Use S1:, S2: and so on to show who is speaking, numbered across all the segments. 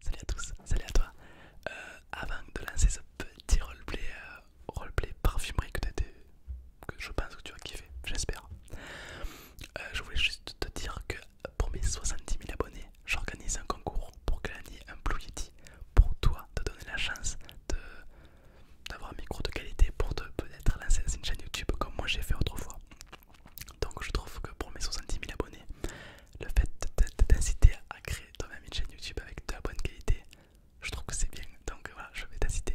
S1: Salut à tous, salut à toi. Euh, avant de lancer ce petit roleplay, euh, parfumerie que, que je pense que tu as kiffé, j'espère, euh, je voulais juste te dire que pour mes 70 000 abonnés, j'organise un concours pour gagner un Blue Yeti pour toi, te donner la chance d'avoir un micro de qualité pour te peut-être lancer une chaîne YouTube comme moi j'ai fait autrefois. Donc je trouve que pour mes 70 000 abonnés, le fait t'inciter à créer toi-même une chaîne YouTube avec de la bonne qualité, je trouve que c'est bien. Donc euh, voilà, je vais t'inciter.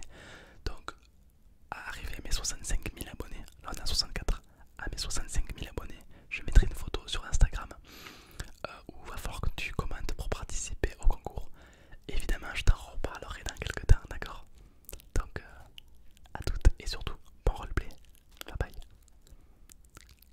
S1: Donc, à arriver à mes 65 000 abonnés, là on est à 64, à mes 65 000 abonnés, je mettrai une photo sur Instagram euh, où il va falloir que tu commentes pour participer au concours. Évidemment, je t'en reparlerai dans quelques temps, d'accord Donc, euh, à toutes et surtout, bon roleplay. Bye bye.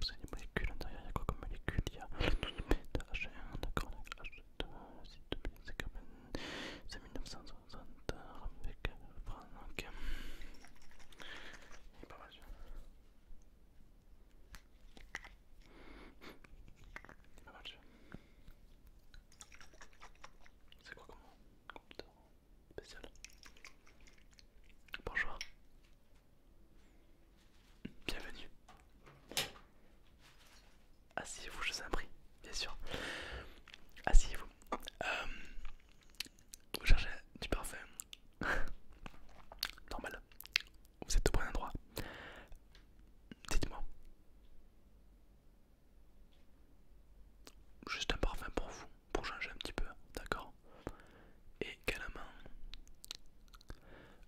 S1: C'est avez des molécules derrière, il y a quoi comme molécules Il y a le 12 bêta 1 d'accord, la H2, l'acide de benzécarbène, c'est 1960 avec Franck. Il est pas mal, il est pas mal, c'est quoi comme computer spécial Bonjour, Bienvenue. Asseyez-vous, je vous en prie, bien sûr. Asseyez-vous. Euh, vous cherchez du parfum. Normal. Vous êtes au bon endroit. Dites-moi. Juste un parfum pour vous, pour changer un petit peu, d'accord Et également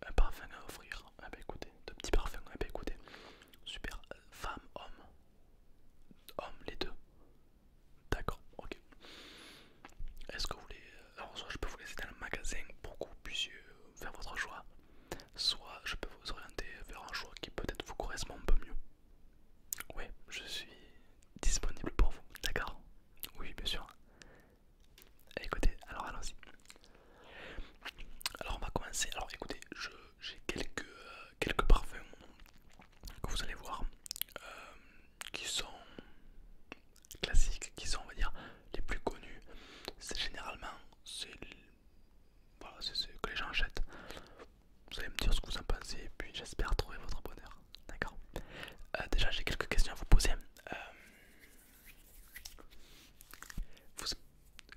S1: un parfum à offrir. Ah bah écoutez, de petits parfums, ah ben écoutez, super, femme, homme, homme, les deux. D'accord, ok. Est-ce que vous voulez. Euh, alors, soit je peux vous laisser dans le magasin pour que vous puissiez euh, faire votre choix, soit je peux vous orienter vers un choix qui peut-être vous correspond un peu mieux. Oui, je suis disponible pour vous, d'accord Oui, bien sûr. Écoutez, alors allons-y. Alors on va commencer. Alors écoutez, j'ai quelques, euh, quelques parfums que vous allez voir euh, qui sont classiques, qui sont on va dire les plus connus. C'est généralement c'est ce que les gens achètent. Vous allez me dire ce que vous en pensez et puis j'espère trouver votre bonheur. D'accord euh, Déjà j'ai quelques questions à vous poser. Vous,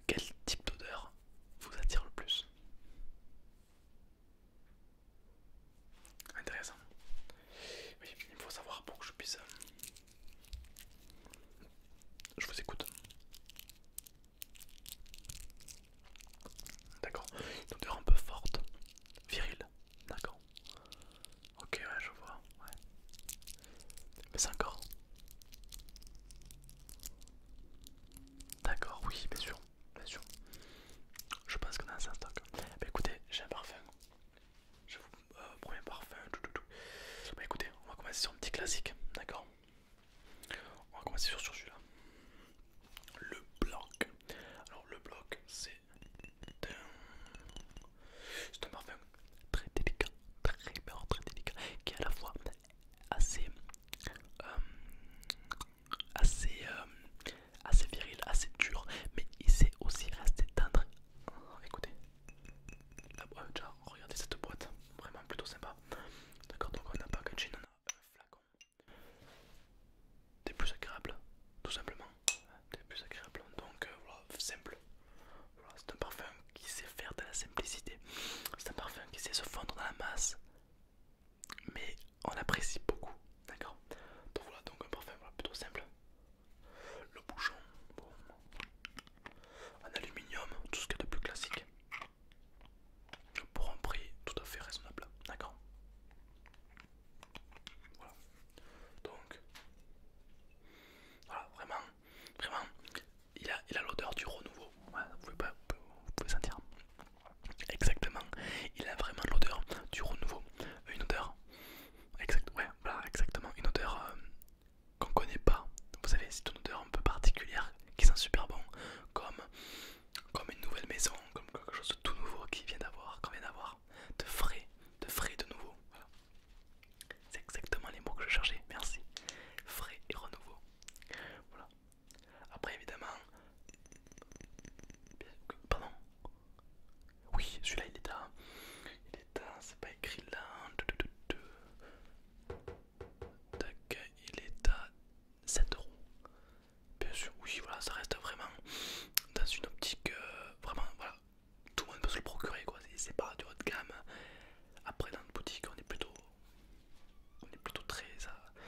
S1: quel type d'odeur vous attire le plus Intéressant. Oui, il faut savoir pour que je puisse... Euh, je vous écoute. D'accord. Une odeur un peu forte. Virile. D'accord. Ok, ouais, je vois, ouais. Mais c'est encore. D'accord, oui, bien sûr, bien sûr. Je pense qu'on a un en stock. Bah écoutez, j'ai un parfum. Je vous euh, promets un parfum. Bah écoutez, on va commencer sur un petit classique, d'accord On va commencer sur, sur celui-là. Le bloc. Alors le bloc, c'est c'est un parfum très délicat, très beurre, très délicat, qui est à la fois assez, euh, euh, assez, viril, assez dur, mais il sait aussi rester tendre. Oh, écoutez, regardez cette boîte, vraiment plutôt sympa. D'accord, donc on n'a a packaging, on a un flacon des plus agréables, tout simplement c'est plus agréable donc voilà simple c'est un parfum qui sait faire de la simplicité c'est un parfum qui sait se fondre dans la masse mais on apprécie beaucoup d'accord donc voilà donc un parfum plutôt simple le bouchon en aluminium tout ce qu'il y a de plus classique pour un prix tout à fait raisonnable d'accord voilà donc voilà, vraiment, vraiment, il a il a l'odeur du renouveau. vous, pouvez sentir exactement. Il a vraiment l'odeur du renouveau, une odeur ouais, voilà, exactement, une odeur euh, qu'on connaît pas. Vous savez, c'est une odeur un peu particulière qui sent super bon, comme comme une nouvelle maison, comme quelque chose de tout nouveau qui vient d'avoir, qu'on vient d'avoir, de frais, de frais de nouveau. C'est exactement les mots que je cherchais, merci. Frais et renouveau. Voilà. Après, évidemment. Pardon. Oui, celui-là il est à. Il est à. C'est pas écrit là. Hein. Tac, il est à 7 euros. Bien sûr, oui, voilà, ça reste vraiment dans une optique. Euh, vraiment, voilà, tout le monde peut se le procurer quoi, c'est pas du haut de gamme. Après dans notre boutique on est plutôt on est plutôt très euh,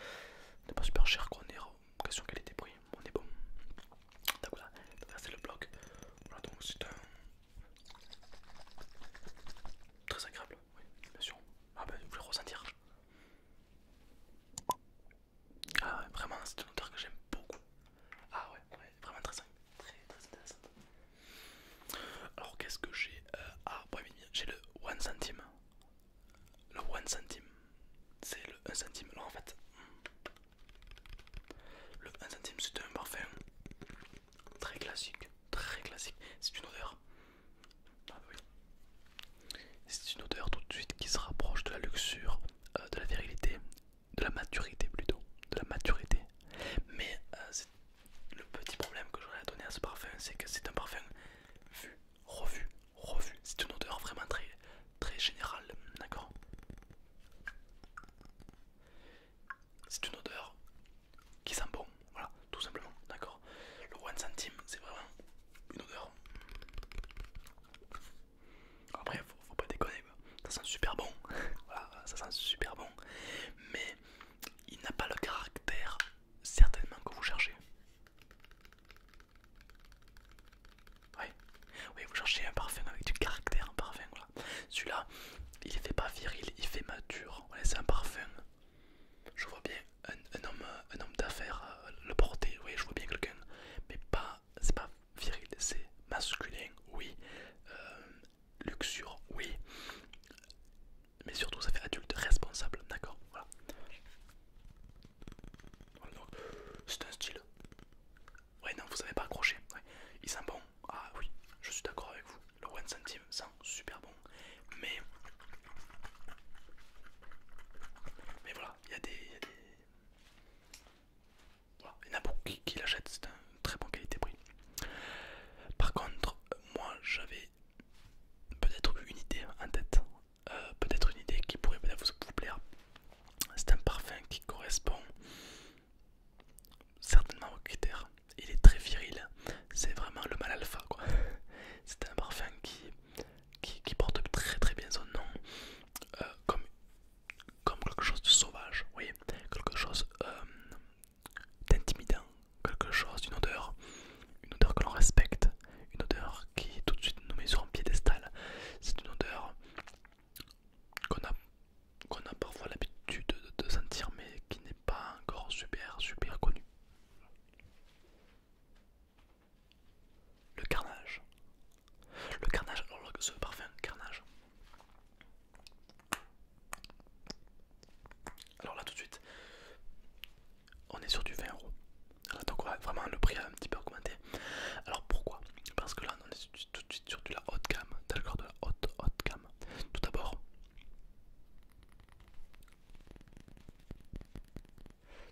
S1: on pas super cher quoi, on est en euh, question qualité prix, on est bon. Donc voilà, c'est le bloc. Voilà donc c'est un très agréable, oui, bien sûr. Ah bah vous voulez ressentir. Ah ouais, vraiment c'est une odeur que j'aime beaucoup. Ah ouais, ouais, vraiment très simple. Très, très Alors qu'est-ce que j'ai euh, Ah, bon, j'ai le 1 centime. Le 1 centime. C'est le 1 centime. Alors en fait, le 1 centime c'est un parfum très classique. Très classique. C'est une odeur. Ah, bah c'est une odeur tout de suite qui se rapproche de la luxure, euh, de la virilité de la maturité plutôt, de la maturité. Mais euh, le petit problème que j'aurais à donner à ce parfum, c'est que c'est un parfum vu, revu, revu. C'est une odeur vraiment très, très générale, d'accord C'est une odeur qui sent bon, voilà, tout simplement, d'accord Le one centime, c'est vraiment une odeur après, faut, pas déconner, ça sent super bon, voilà, ça sent super bon, mais il n'a pas le caractère certainement que vous cherchez. Oui, vous cherchez un parfum avec du caractère, un parfum, Celui-là, il fait pas viril, il fait mature, c'est un parfum. Je vois bien un, homme, un homme d'affaires euh, le porter, je vois bien quelqu'un, mais pas, c'est pas viril, c'est masculin, oui. Euh, luxure, oui. Mais surtout, ça fait adulte responsable, d'accord Voilà. C'est un style. Ouais, non, vous savez pas accroché. Il sent bon. Ah oui, je suis d'accord avec vous. Le one centime sent super bon. Mais. Mais voilà, il y a des. Il y en a beaucoup qui, l'achètent, c'est un très bon qualité-prix. Par contre, moi j'avais peut-être une idée en tête, euh, peut-être une idée qui pourrait vous, plaire. C'est un parfum qui correspond certainement au critère. Il est très viril, c'est vraiment le mal alpha quoi. C'est un parfum qui, qui, porte très très bien son nom, euh, comme comme quelque chose de sauvage, oui, quelque chose euh, d'intimidant, quelque chose d'une odeur, une odeur que l'on respecte, une odeur qui tout de suite nous met sur un piédestal. C'est une odeur qu'on a, a parfois l'habitude de, de sentir, mais qui n'est pas encore super, super connue. Le carnage, le carnage, alors oh, ce parfum carnage. Alors là tout de suite, on est sur du 20 euros. Donc ouais, vraiment le prix a un petit peu augmenté. Alors pourquoi Parce que là on est tout de suite sur de la haute gamme, d'accord de la haute haute gamme. Tout d'abord,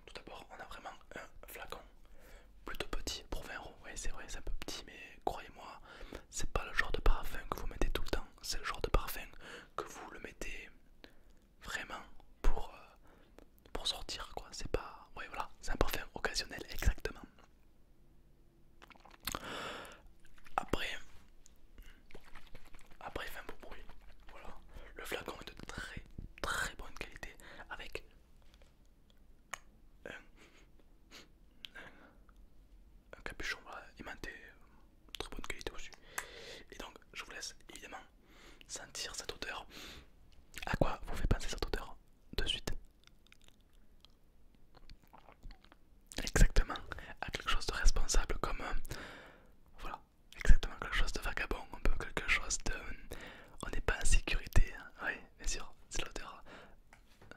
S1: tout d'abord on a vraiment un flacon plutôt petit pour 20 euros. ouais c'est vrai, c'est un peu petit, mais croyez-moi, c'est pas le genre de parfum que vous mettez tout le temps. C'est le genre de parfum que vous le mettez vraiment pour, euh, pour sortir, quoi. C'est pas. Ouais, voilà, c'est un parfum occasionnel, exactement. Après, après, fin beau bruit. Voilà, le flacon est de très très bonne qualité avec un, capuchon voilà, aimanté, euh, très bonne qualité aussi. Et donc, je vous laisse évidemment sentir cette odeur. À quoi vous fait penser cette odeur de suite Exactement, à quelque chose de responsable comme... Euh, voilà, exactement quelque chose de vagabond, un peu quelque chose de... Euh, on n'est pas en sécurité, hein, oui, bien sûr, c'est l'odeur. Euh,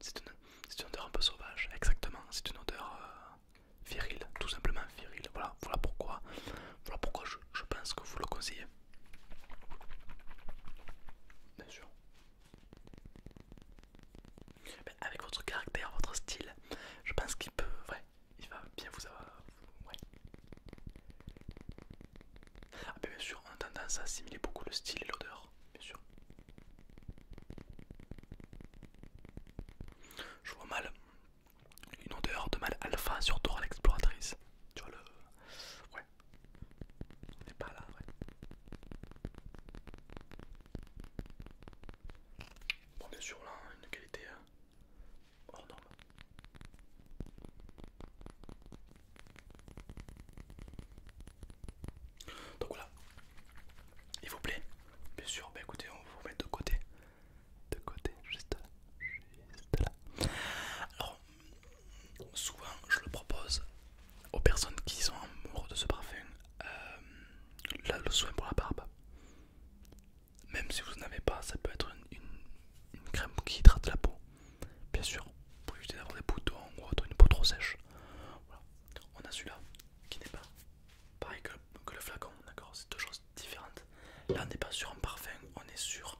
S1: c'est une, odeur un peu sauvage, exactement. C'est une odeur euh, virile, tout simplement virile. Voilà, voilà pourquoi, voilà pourquoi je, pense que vous le conseillez. Bien sûr. avec votre caractère, votre style, je pense qu'il peut, ouais, il va bien vous avoir. Ouais. Ah bien sûr, on a tendance à assimiler beaucoup le style et l'odeur, bien sûr. Je vois mal une odeur de mal alpha surtout à l'exploratrice. Tu vois le... Ouais. On n'est pas là, ouais. Bon bien sûr là, une qualité hein, hors norme. Donc voilà, il vous plaît Bien sûr, bah écoutez, on vous met de côté. De côté, juste là. Alors, souvent je le propose aux personnes qui sont amoureuses de ce parfum, euh, le soin pour la barbe. Même si vous n'en avez pas, ça peut être une crème qui hydrate la peau bien sûr, pour éviter d'avoir des boutons ou une peau trop sèche. On a celui-là qui n'est pas pareil que, le flacon, d'accord C'est deux choses différentes. Là, on n'est pas sur un parfum, on est sur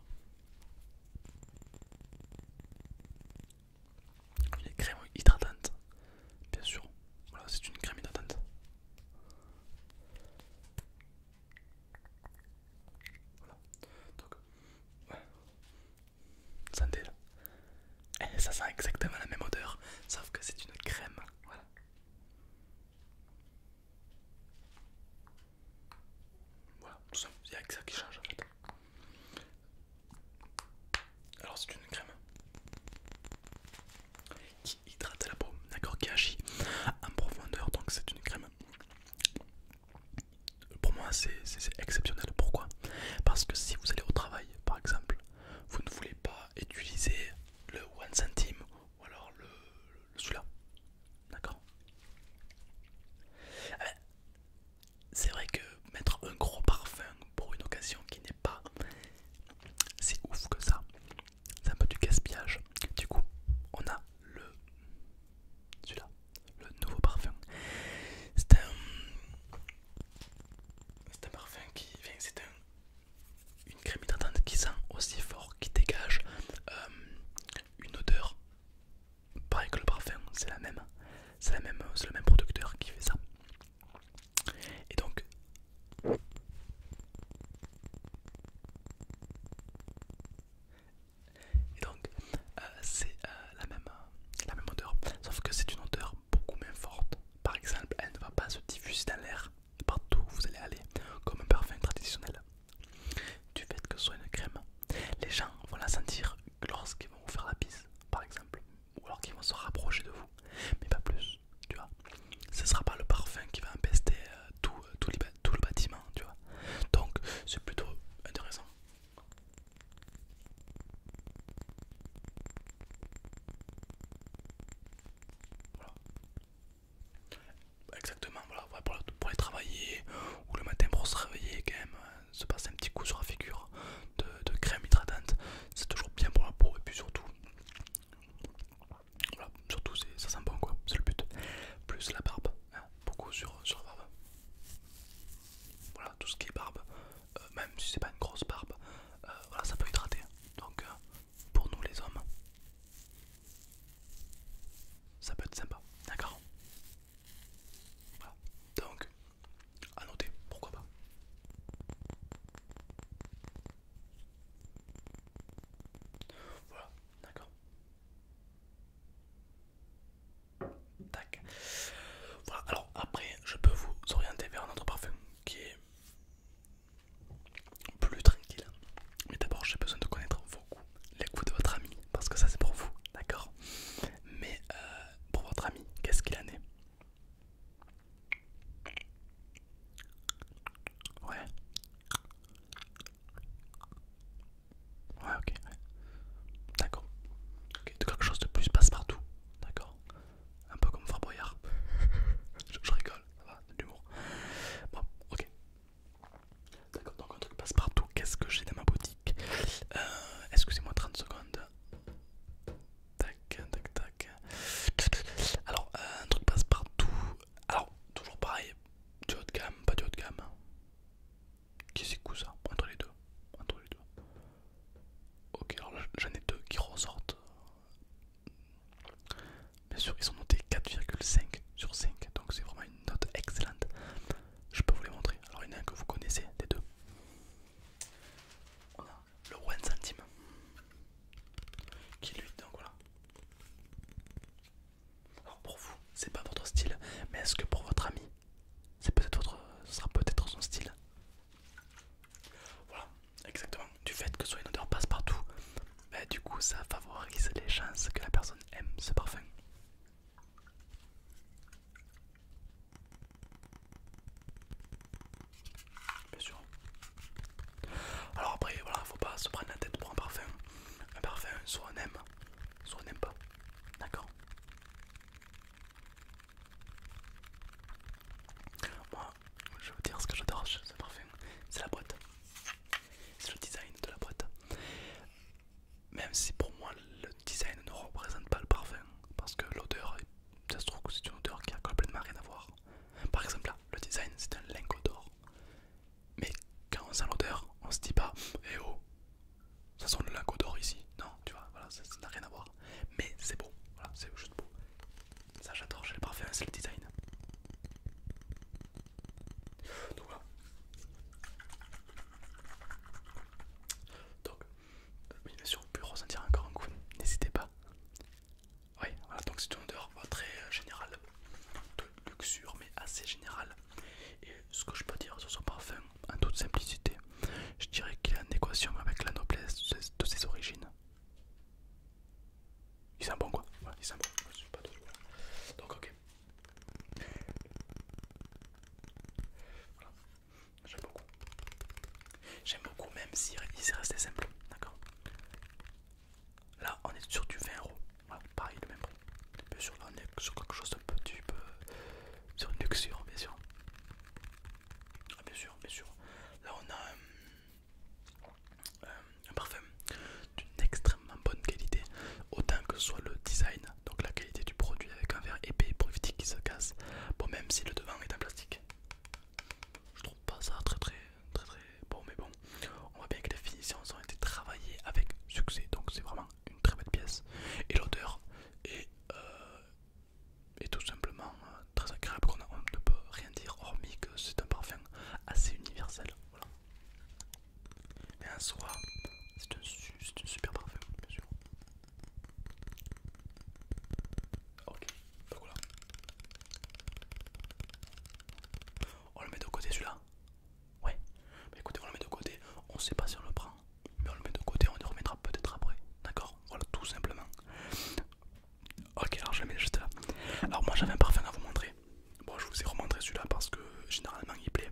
S1: une crème hydratante, bien sûr. Voilà, c'est une crème hydratante. Voilà. Donc, ouais. Sentez là. Eh, ça sent exactement la même odeur, sauf que c'est une crème. Voilà. Voilà, tout simple, il n'y a que ça qui change en fait. Alors c'est une crème qui hydrate la peau, d'accord, qui agit en profondeur, donc c'est une crème pour moi, c'est exceptionnel. Pourquoi Parce que si vous allez au travail, par exemple, vous ne voulez pas utiliser le 1 centime ou alors le, celui-là. D'accord ah ben, C'est vrai que mettre un gros parfum pour une occasion qui n'est pas si ouf que ça, c'est un peu du gaspillage. Du coup, on a le celui-là, le nouveau parfum. C'est un, c'est un parfum qui c'est un, une crème hydratante qui sent aussi fort, qui dégage euh, une odeur. Pareil que le parfum, c'est la même, c'est la même, c'est le même producteur qui fait ça. Et donc, et donc, euh, c'est euh, euh, la, même, odeur, sauf que c'est une odeur beaucoup moins forte. Par exemple, elle ne va pas se diffuser dans l'air partout où vous allez aller, comme un parfum traditionnel. Du fait que ce soit une crème, les gens vont la sentir lorsqu'ils vont vous faire la pisse par exemple, ou alors qu'ils vont se rapprocher de vous, mais pas plus, tu vois. Ce sera pas le parfum qui va empester tout, tout le bâtiment, tu vois. Donc, c'est plutôt intéressant. Voilà. Exactement, voilà, pour, aller travailler ou le matin pour se réveiller, quand même, euh, se passer un petit coup sur la figure de, crème hydratante, c'est toujours bien pour la peau et puis surtout, surtout ça sent bon quoi, c'est le but. Plus la barbe, beaucoup sur, sur barbe. Voilà, tout ce qui est barbe, euh, même si c'est pas une grosse barbe, euh, voilà, ça peut hydrater. Donc euh, pour nous les hommes, ça peut être sympa, d'accord Voilà, donc à noter, pourquoi pas. Voilà, d'accord. Voilà, alors après, je peux vous orienter vers un autre parfum qui est plus tranquille. Mais d'abord, j'ai besoin de connaître vos goûts, les goûts de votre ami, parce que ça c'est pour vous, d'accord Mais euh, pour votre ami, qu'est-ce qu'il en est Ouais. Ouais, ok, D'accord. quelque chose de plus passe-partout, d'accord Un peu comme Farboyard. je, rigole, ça va, de l'humour. Bon, ok. D'accord, donc un truc passe-partout, qu'est-ce que j'ai dans ma boutique Excusez-moi euh, 30 secondes. Tac, tac, tac. Alors, euh, un truc passe-partout. Alors, toujours pareil, du haut de gamme, pas du haut de gamme qui c'est ça entre les deux entre les deux ok alors j'en ai deux qui ressortent bien sûr ils sont notés 4,5 sur 5 donc c'est vraiment une note excellente je peux vous les montrer alors il y en a un que vous connaissez des deux on a le one centime qui lui donc voilà alors pour vous, c'est pas votre style, mais est-ce que pour votre ami, c'est peut-être ce sera peut-être son style. Voilà, exactement. Du fait que soit une odeur passe-partout, bah, du coup ça favorise les chances que la personne aime ce parfum. Bien sûr. Alors après, voilà, faut pas se prendre la tête pour un parfum. Un parfum, soit on aime, soit on n'aime pas. D'accord. Moi, je veux dire ce que j'adore chez ce parfum, c'est la boîte. C'est le design de la boîte. Même si pour moi le design ne représente pas le parfum, parce que l'odeur, ça se trouve que c'est une odeur qui a complètement rien à voir. Par exemple là, le design c'est un lingot d'or. Mais quand on sent l'odeur, on se dit pas, eh oh, ça sent le lac d'or ici. Non, tu vois, voilà, ça n'a rien à voir. Mais c'est beau, voilà, c'est juste beau. Ça j'adore, j'ai le parfum, c'est le design. Donc voilà. Donc, bien sûr, vous pouvez ressentir encore un coup, n'hésitez pas. Oui, voilà, donc c'est une odeur très euh, générale luxure mais assez générale. Et ce que je peux dire sur son parfum, en toute simplicité, je dirais qu'il est en équation avec la noblesse de ses origines. Il sent bon quoi Il sent bon. Donc ok. J'aime beaucoup. J'aime beaucoup même si si s'est resté simple. D'accord Là on est sur du 20 euros pareil le même prix. Bien sûr là on est sur quelque chose de petit sur une luxure bien sûr. Ah, bien sûr, bien sûr. Là on a euh, euh, un, parfum d'une extrêmement bonne qualité, autant que soit le design, donc la qualité du produit avec un verre épais pour éviter qu'il se casse. Bon même si le devant est en plastique. Je trouve pas ça très très très très bon mais bon on voit bien que les finitions ont été travaillées avec succès donc c'est vraiment une très belle pièce et l'odeur est, euh, tout simplement euh, très agréable qu'on ne peut rien dire hormis que c'est un parfum assez universel voilà. et en soi c'est un, super parfum bien sûr ok on le met de côté celui-là Ouais. mais bah, écoutez, on le met de côté. On sait pas si on le prend, mais on le met de côté. On y remettra peut-être après. D'accord Voilà, tout simplement. Ok, alors je le mets juste là. Alors moi j'avais un parfum à vous montrer. Bon, je vous ai remontré celui-là parce que généralement il plaît.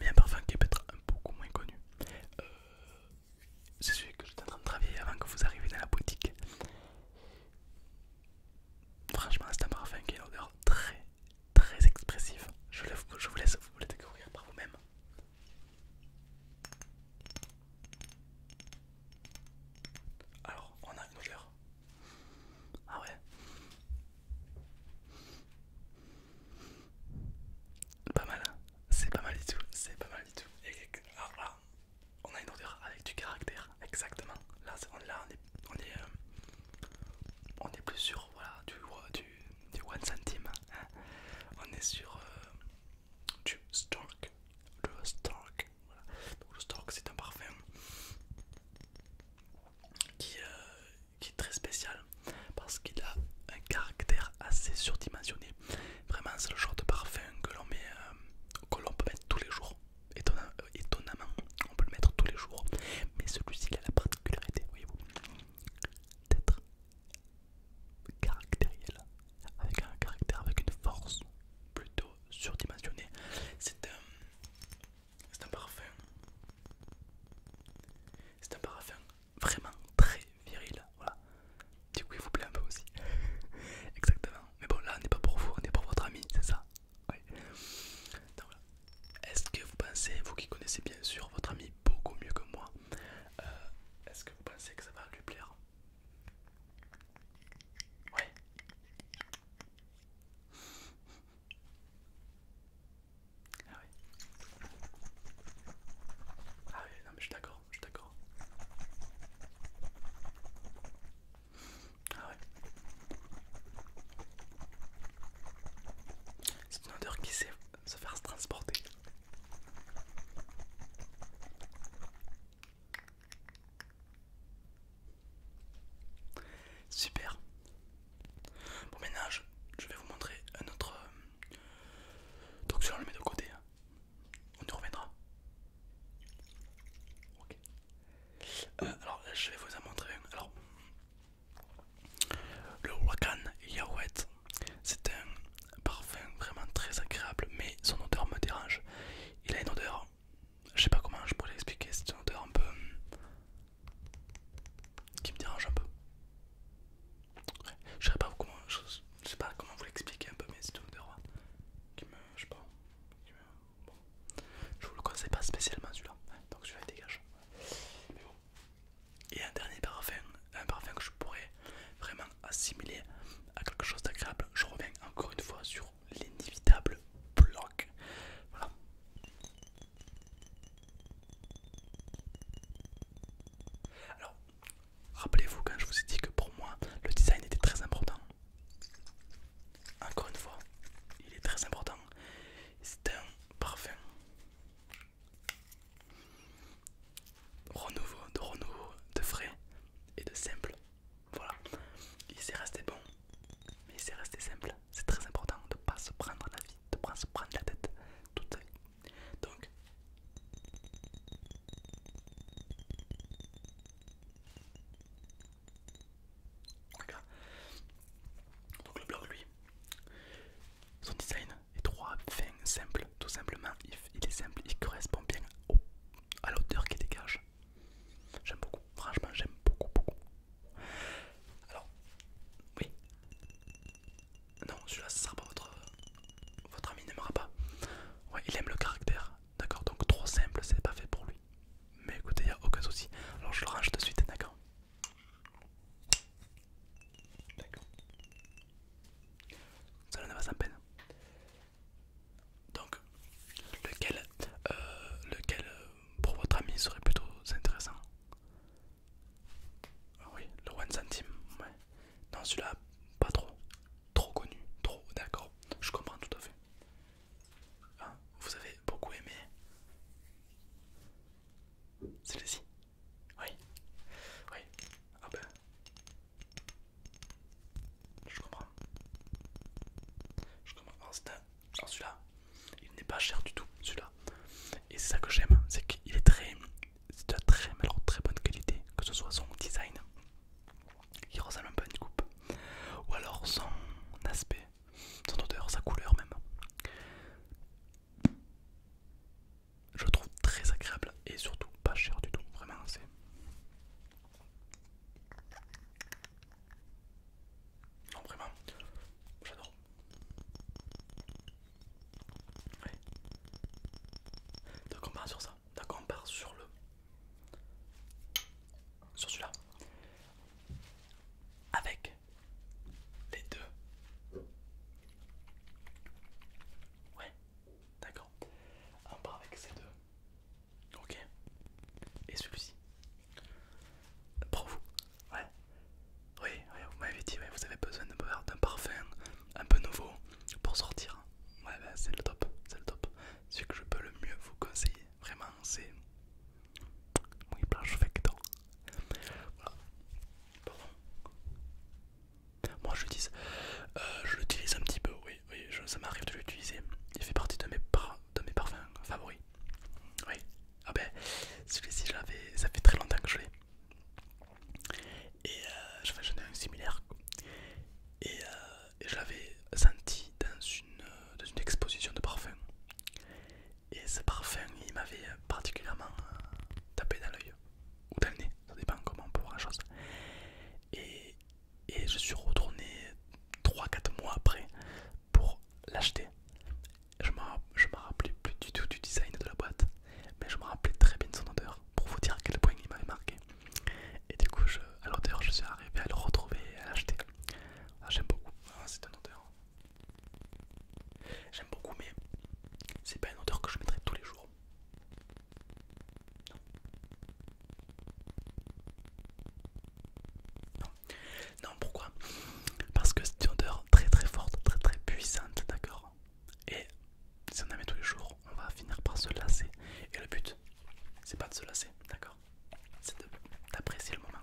S1: Mais un parfum qui est peut-être beaucoup moins connu. Euh, c'est celui que j'étais en train de travailler avant que vous arriviez dans la boutique. Franchement, c'est un parfum qui a une odeur très très expressif. Je, je vous laisse vous la découvrir par vous-même. Alors, on a une odeur. Ah ouais. Pas mal, hein. c'est pas mal du tout, c'est pas mal du tout. Et, alors ah, là, ah. on a une odeur avec du caractère, exactement. Là, on, là, on est euh, on est, plus sur du, one centime, hein. on est sur euh, du Stork, le Stork, c'est un parfum euh, qui, est très spécial parce qu'il a un caractère assez surdimensionné, vraiment c'est le genre de parfum que l'on met, que l'on peut mettre tous les jours étonnamment, on peut le mettre tous les jours, mais celui-ci il a la particularité, voyez-vous, d'être caractériel, avec un caractère, avec une force plutôt surdimensionnée. C'est un, un parfum, c'est un parfum vraiment très viril, voilà. Du coup, il vous plaît un peu aussi, exactement. Mais bon, là, on n'est pas pour vous, on est pour votre ami, c'est ça. Est-ce que vous pensez, vous qui connaissez bien sûr votre ami beaucoup mieux que moi, euh, est-ce que vous pensez que ça va lui plaire Oui. Ah oui. Ah oui, non mais je suis d'accord, je suis d'accord. Ah ouais. C'est une odeur qui sait se faire se transporter. Super. Bon maintenant je, vais vous montrer un autre... Euh, donc si on le met de côté, hein. on y reviendra. Ok. Euh, alors je vais vous en montrer un. Alors, le Wakan Yawet, c'est un parfum vraiment très agréable, mais son odeur me dérange. Il a une odeur, je sais pas comment je pourrais l'expliquer, c'est une odeur un peu. Hmm, qui me dérange un peu. je sais pas comment, sais pas comment vous l'expliquer un peu, mais c'est une odeur qui me, je sais pas, Bon. Je vous le conseille pas spécialement celui-là, donc celui-là il dégage. Et un dernier parfum, un parfum que je pourrais vraiment assimiler à quelque chose d'agréable. Je reviens encore une fois sur l'inévitable bloc. Voilà. Alors, rappelez-vous quand je vous ai dit que pour moi le design était très important. Encore une fois, il est très important. C'est un parfum renouveau, de renouveau, de frais et de simple. Voilà, il s'est resté bon, mais il s'est resté simple. C'est très important de ne pas se prendre la vie, de ne pas se prendre la tête toute Donc, donc le blog lui, son design est trop fin, simple tout simplement il est simple, il correspond bien à l'auteur qu'il dégage. J'aime beaucoup, franchement j'aime beaucoup beaucoup. Alors, oui. Non, celui-là ça sera pas votre... Votre ami n'aimera pas. Ouais, il aime le caractère, d'accord Donc trop simple, c'est pas fait pour lui. Mais écoutez, il a aucun souci. Alors je le range de suite, d'accord D'accord. Ça ne va sans peine. Donc, lequel, euh, lequel euh, pour votre ami serait plutôt intéressant ah Oui, le one centime. Ouais. Non, celui-là, pas trop. Trop connu. Trop, d'accord. Je comprends tout à fait. Ah, vous avez beaucoup aimé celui ci Oui. Oui. Ah ben. Je comprends. Je comprends. celui-là, il n'est pas cher du tout, celui-là. Et c'est ça que j'aime, c'est qu'il est très... de très, très bonne qualité, que ce soit son design, qui ressemble un peu à une coupe, ou alors son aspect, son odeur, sa couleur même. Je le trouve très agréable et surtout pas cher du tout, vraiment c'est... vraiment, j'adore. Donc on sur ça, d'accord on part sur le... Sur celui-là avec les deux. Ouais, d'accord. Un part avec ces deux. Ok. Et celui-ci. Pour vous. Ouais. Oui, vous m'avez dit, vous avez besoin d'un parfum un peu nouveau pour sortir. Ouais, ben, c'est le top. C'est le top. Ce que je peux le mieux vous conseiller, vraiment, c'est oui Voilà. bon Moi je l'utilise, euh, je l'utilise un petit peu, oui, oui ça m'arrive de l'utiliser. Il fait partie de mes, de mes parfums favoris. Oui, ah ben celui-ci ça fait très longtemps que je l'ai. Et euh, je j'en ai un similaire euh, et, je l'avais senti dans une, dans une exposition de parfums et ce parfum, il m'avait particulièrement euh, tapé dans l'œil ou dans le nez, ça dépend comment on peut voir la chose. Et, je suis retourné 3-4 mois après pour l'acheter. Je ne me rappelais plus du tout du design de la boîte, mais je me rappelais très bien de son odeur pour vous dire à quel point il m'avait marqué. Et du coup, je, à l'odeur, je suis arrivé à le retrouver et à l'acheter. Ah, j'aime beaucoup. Ah, c'est une odeur. J'aime beaucoup, mais c'est pas une odeur que je mettrais tous les jours. Non. Non, non pourquoi Parce que c'est une odeur très très forte, très très puissante, d'accord Et si on la met tous les jours, on va finir par se lasser. Et le but, c'est pas de se lasser, d'accord c'est d'apprécier le moment.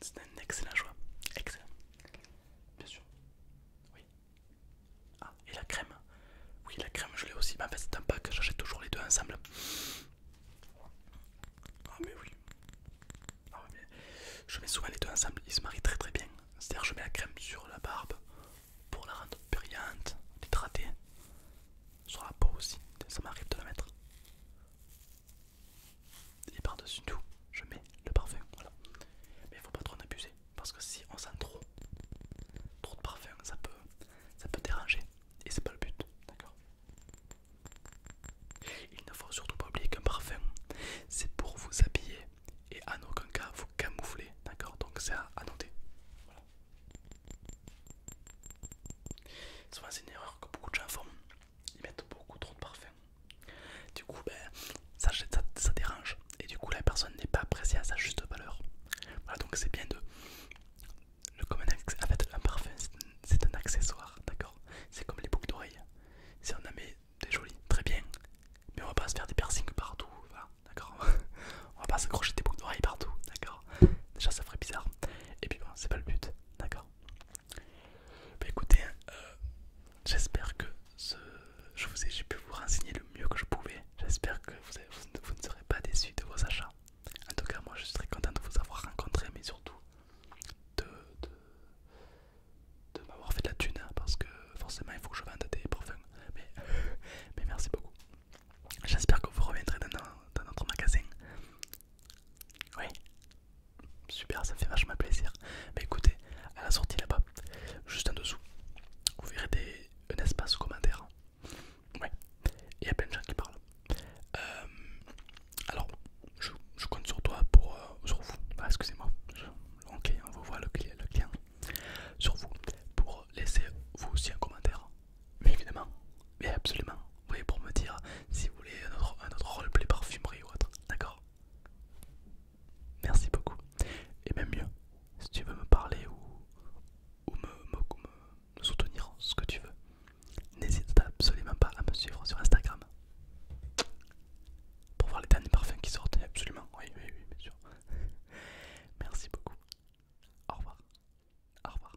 S1: C'est un excellent choix. Excellent. Bien sûr. Oui. Ah, et la crème. Oui, la crème, je l'ai aussi. en fait, c'est un pack, j'achète toujours les deux ensemble. Ah mais oui. Ah, je mets souvent les deux ensemble, ils se marient très très bien. C'est-à-dire je mets la crème sur la barbe pour la rendre brillante, hydratée. Sur la peau aussi, ça m'arrive de la mettre. Et par-dessus tout, je mets le parfum, voilà. Mais il faut pas trop en abuser, parce que si on sent trop, trop de parfum, ça peut, ça peut déranger. Et c'est pas le but, d'accord il ne faut surtout pas oublier qu'un parfum, c'est pour vous habiller et en aucun cas vous camoufler, d'accord Donc c'est à, noter. Souvent c'est une erreur que beaucoup de gens font, ils mettent beaucoup trop de parfum. Du coup, ben, ça, dérange et du coup la personne n'est pas appréciée à sa juste valeur. donc c'est bien de... Le, communiquer. avec un parfum, c'est un accessoire, d'accord C'est comme les boucles d'oreilles. Si on en met des jolies, très bien. Mais on va pas se faire des piercings partout, d'accord On va pas s'accrocher des boucles d'oreilles partout, d'accord Déjà ça ferait bizarre. Et puis bon, c'est pas le but, d'accord Bah écoutez, euh, j'espère que je vous j'ai pu vous renseigner le mieux que je pouvais. J'espère que vous, ne serez pas déçus de vos achats. En tout cas, moi je suis très content de vous avoir rencontré, mais surtout de, de, m'avoir fait de la thune hein, parce que forcément il faut que je vende des parfums. Mais, mais merci beaucoup. J'espère que vous reviendrez dans, notre magasin. Oui, super, ça fait vachement plaisir. Mais écoutez, à la sortie là-bas, juste en dessous, vous verrez des, un espace commentaire. Ouais, il y a plein de gens qui parlent. Euh, alors, je, compte sur toi pour... Euh, sur vous, ah, excusez-moi, on vous voit le client, Sur vous, pour laisser vous aussi un commentaire. Mais évidemment, mais absolument. Vous pour me dire si vous voulez un autre, un autre roleplay parfumerie ou autre. D'accord Merci beaucoup. Et même mieux, si tu veux me parler ou, ou me soutenir, ce que tu veux, n'hésite absolument pas à me suivre sur Instagram pour voir les derniers parfums qui sortent. Absolument, oui, oui, oui, bien sûr. Merci beaucoup. Au revoir. Au revoir.